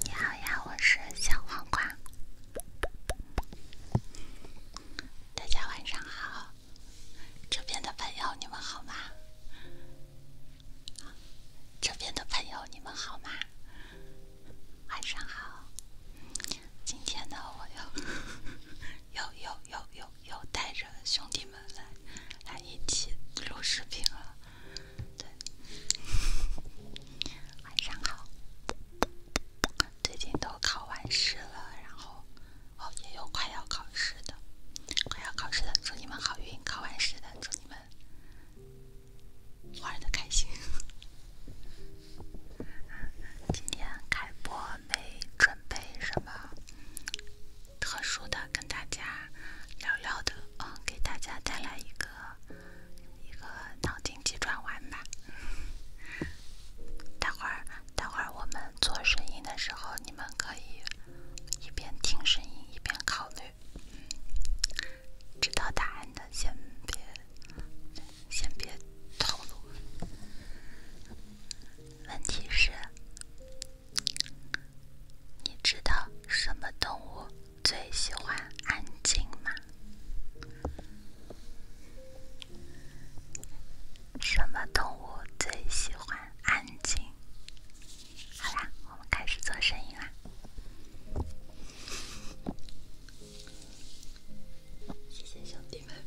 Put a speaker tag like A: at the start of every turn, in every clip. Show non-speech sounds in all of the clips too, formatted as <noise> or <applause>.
A: 你好呀，我是小黄瓜。大家晚上好，这边的朋友你们好吗？这边的朋友你们好吗？晚上好。今天呢，我又 <laughs> 又又又又带着兄弟们。来来一起录视频了，对，晚上好。最近都考完试了，然后哦也有快要考试的，快要考试的，祝你们好运！考完试的，祝你们玩的开心。<laughs> 今天开播没准备什么。特殊的跟大家聊聊的，嗯，给大家带来一个一个脑筋急转弯吧。待会儿待会儿我们做声音的时候，你们可以一边听声音一边考虑。知道答案的先别先别透露。问题是？你知道什么动物最喜欢安静吗？什么动物最喜欢安静？好啦，我们开始做生意啦！谢谢兄弟们。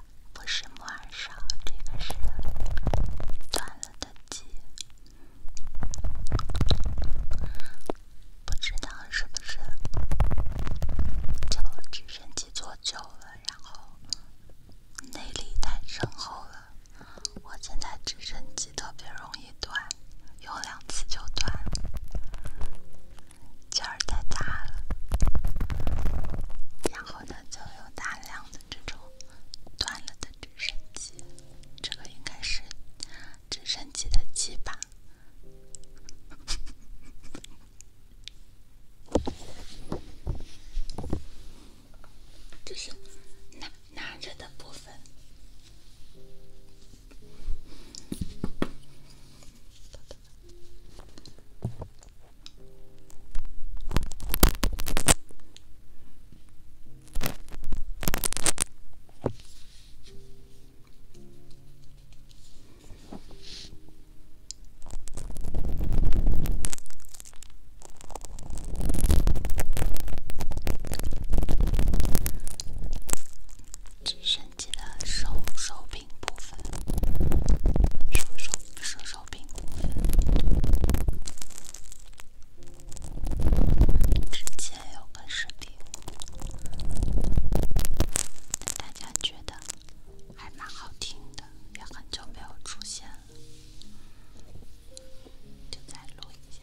A: 不是木耳少，这个是断了的鸡。不知道是不是就直升机坐久了，然后内力太深厚了。我现在直升机特别容易断，有两次就断，了。劲儿太大了。然后呢，就有大量的。这种断了的直升机，这个应该是直升机的机吧，<laughs> 就是拿拿着的部分。直升机的手手柄部分。小兵，之前有个视频，大家觉得还蛮好听的，也很久没有出现了，就再录一下。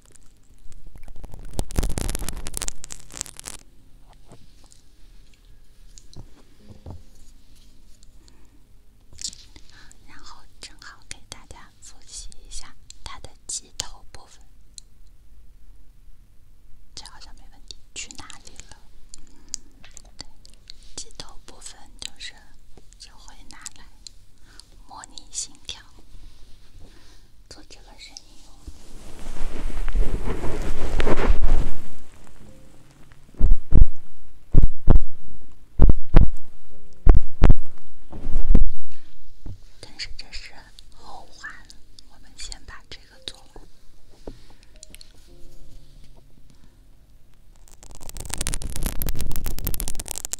A: 然后正好给大家复习一下它的机头部分，这好像没问题。去哪里了？对，机头部分就是就会拿来？模拟心跳，做这个声音。但是这是后话，我们先把这个做完。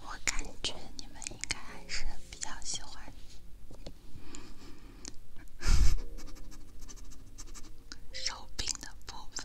A: 我感觉你们应该还是比较喜欢手柄的部分。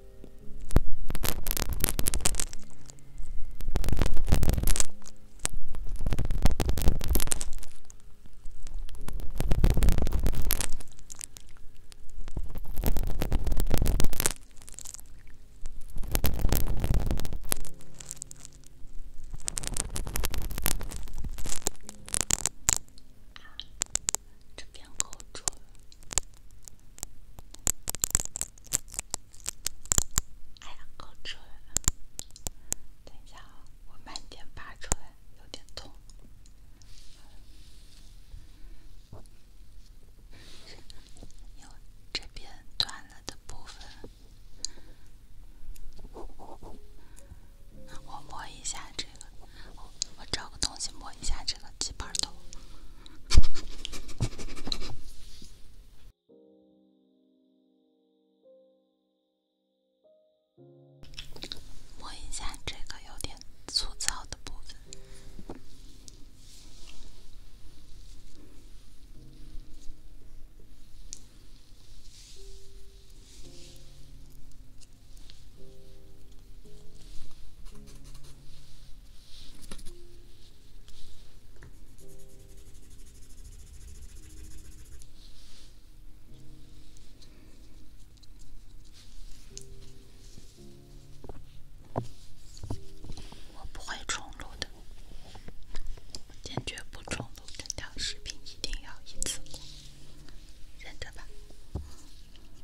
A: 这边够住哎呀，够准！等一下啊，我慢点拔出来，有点痛。有这边断了的部分，我摸一下这个。我找个东西摸一下这个鸡板头，摸一下这个有点粗糙的部分。我不会重录的，坚决不重录这条视频，一定要一次过，忍着吧。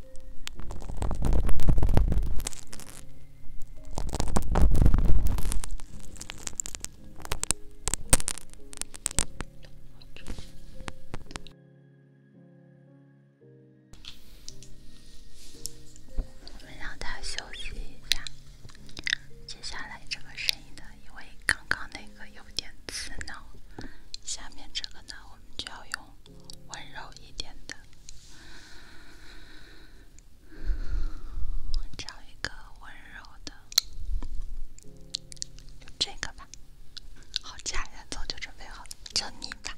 A: 我们让它休息一下。接下来这个声音呢，因为刚刚那个有点刺挠，下面这个呢，我们就要用。温柔一点的，找一个温柔的，这个吧。好，家人早就准备好了，叫你吧。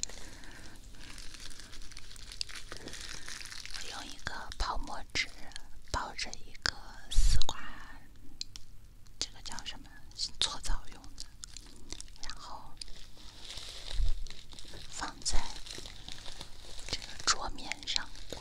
A: 我用一个泡沫纸包着一个丝瓜，这个叫什么搓澡油？然后放在这个桌面上滚。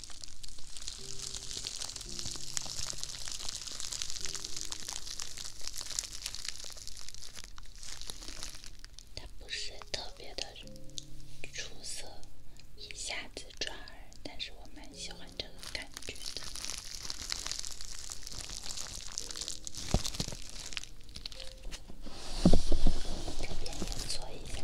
A: 它不是特别的出色，一下子抓耳，但是我蛮喜欢这个感觉的。这边也做一下。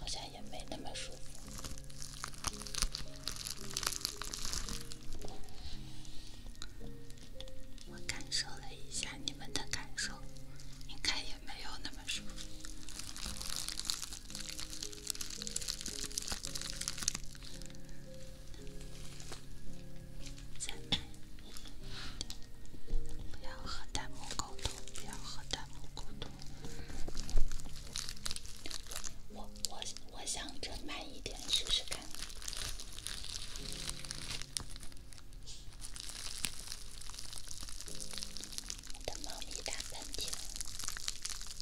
A: 好像也没那么舒服。我感受了一下你们的感受，应该也没有那么舒服。再慢一点，不要和弹幕沟通，不要和弹幕沟通。我我我我想着慢一点试试看。我的猫咪打喷嚏了。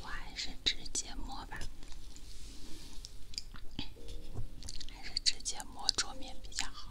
A: 我还是直接摸吧，还是直接摸桌面比较好。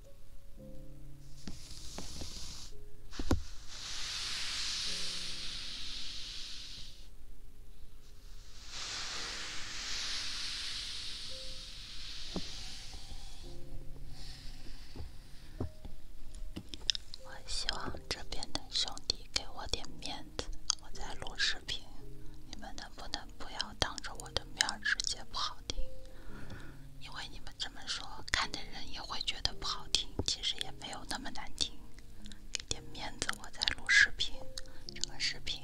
A: 我希望这边的兄弟给我点面子，我在录视频，你们能不能不要？当着我的面直接不好听，因为你们这么说，看的人也会觉得不好听。其实也没有那么难听，给点面子，我在录视频，这个视频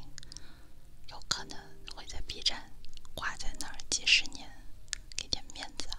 A: 有可能会在 B 站挂在那儿几十年，给点面子啊。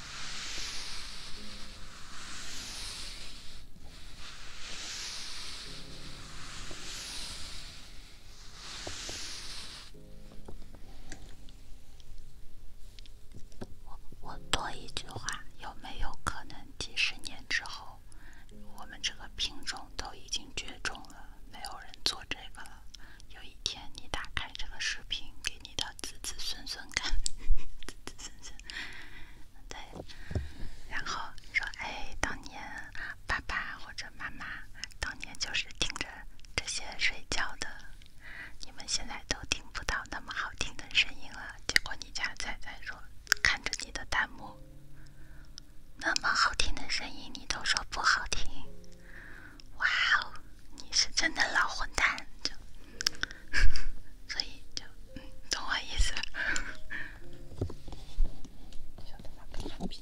A: 我多一句话，有没有可能几十年之后，我们这个品种都已经绝种了，没有人做这个了？有一天你打开这个视频给你的。子子孙孙看，<laughs> 子子孙孙，对，然后说哎，当年爸爸或者妈妈，当年就是听着这些睡觉的，你们现在都听不到那么好听的声音了。结果你家仔仔说，看着你的弹幕，那么好听的声音你都说不好听。哇哦，你是真的老混蛋，就，所以就，懂我意思，晓得吗？跟傻逼。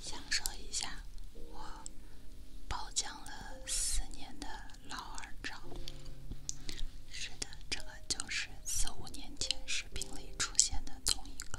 A: 享受一下我包浆了四年的老二照。是的，这个就是四五年前视频里出现的同一个。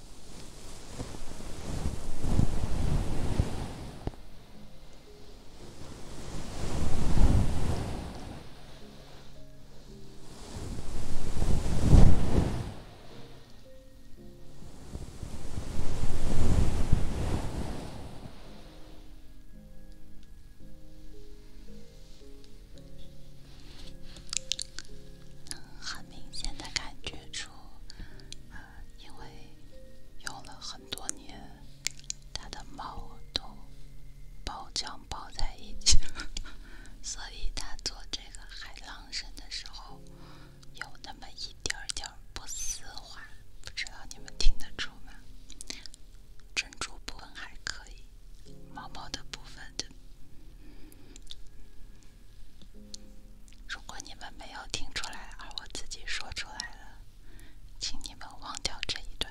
A: 能很明显的感觉出。因为用了很多年，它的毛都包浆包在一起，了。<laughs> 所以它做这个海浪声的时候有那么一点点不丝滑，不知道你们听得出吗？珍珠部分还可以，毛毛的部分的。如果你们没有听出来，而我自己说出来了，请你们忘掉这一段。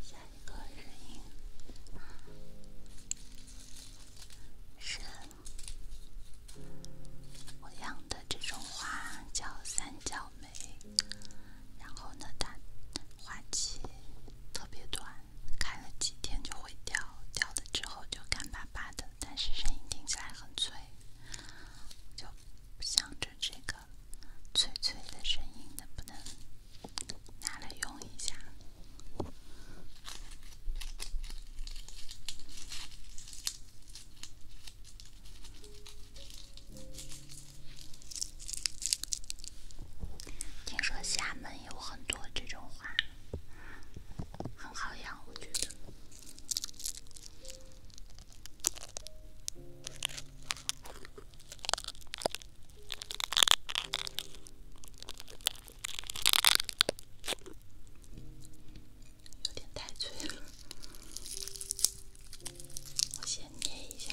A: 下一个声音是，我养的这种花叫三角梅，然后呢，它花期特别短，开了几天就会掉，掉了之后就干巴巴的，但是声音听起来很脆。就想着这个脆脆的声音能不能拿来用一下？听说厦门有很多这种花，很好养，我觉得。有点太脆了，我先捏一下。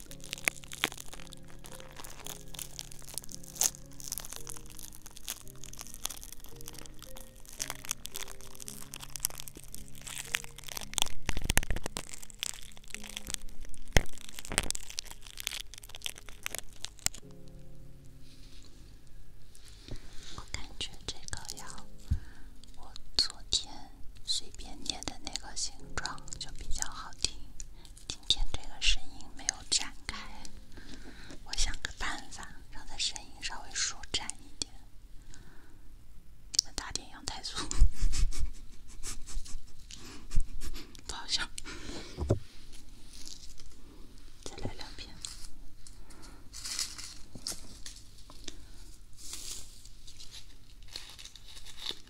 A: 我感觉这个要，我昨天。随便捏的那个形状就比较好听。今天这个声音没有展开，我想个办法，让它声音稍微舒展一点，打点羊胎素，<laughs> 不好笑，再来两遍。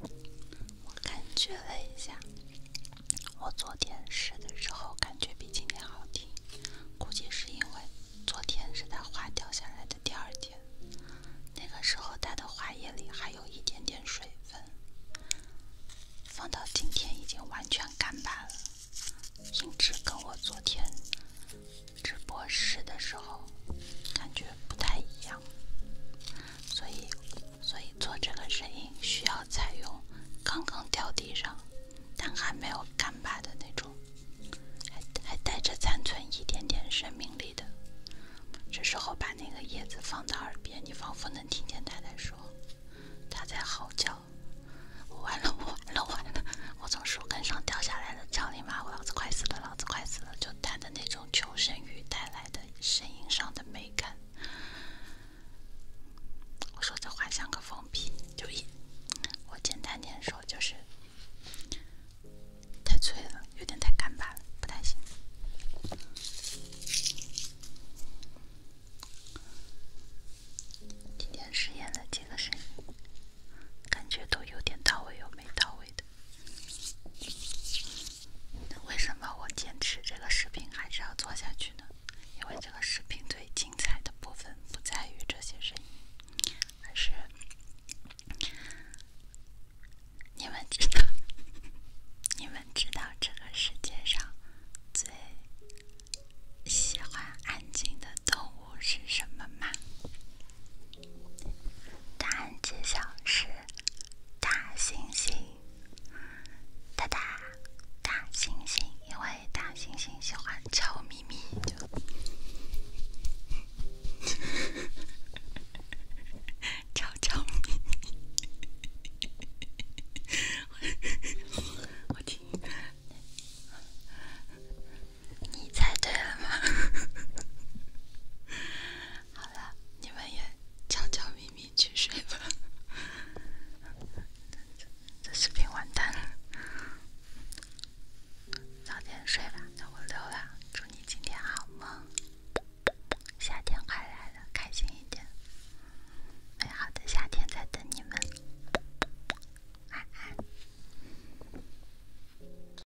A: 我感觉了一下，我昨天试的时候感觉比今天好听，估计是因为昨天是它花掉下来的第二天，那个时候它的花叶里还有一点点水分，放到今天已经完全干巴了，音质跟我昨天。直播室的时候，感觉不太一样，所以，所以做这个声音需要采用刚刚掉地上但还没有干巴的那种，还还带着残存一点点生命力的。这时候把那个叶子放到耳边，你仿佛能听见它在说，它在嚎叫：“完了，完了，完了！我从树根上掉下来了，叫你妈！我老子快死了，老子快死了！”就它的那种。求生欲带来的声音上的美感。我说这话像个疯批，就一我简单点说就是太脆了，有点太干巴了，不太行。今天试验了几个声音，感觉都有点到位，有没到位的。为什么我坚持这个视频还是要做下去呢？因为这个视频最精彩的部分不在于这些声音，而是你们知道，你们知道这个世界上最喜欢安静的动物是什么吗？答案揭晓是大猩猩，哒大猩猩，因为大猩猩喜欢悄咪咪，就悄悄咪咪，我听。你猜对了吗？<laughs> 好了，你们也悄悄咪咪去睡吧。这视频完蛋。了，早点睡吧，那我溜了。祝你今天好梦。夏天快来了，开心一点。美好的夏天在等你们。爱爱。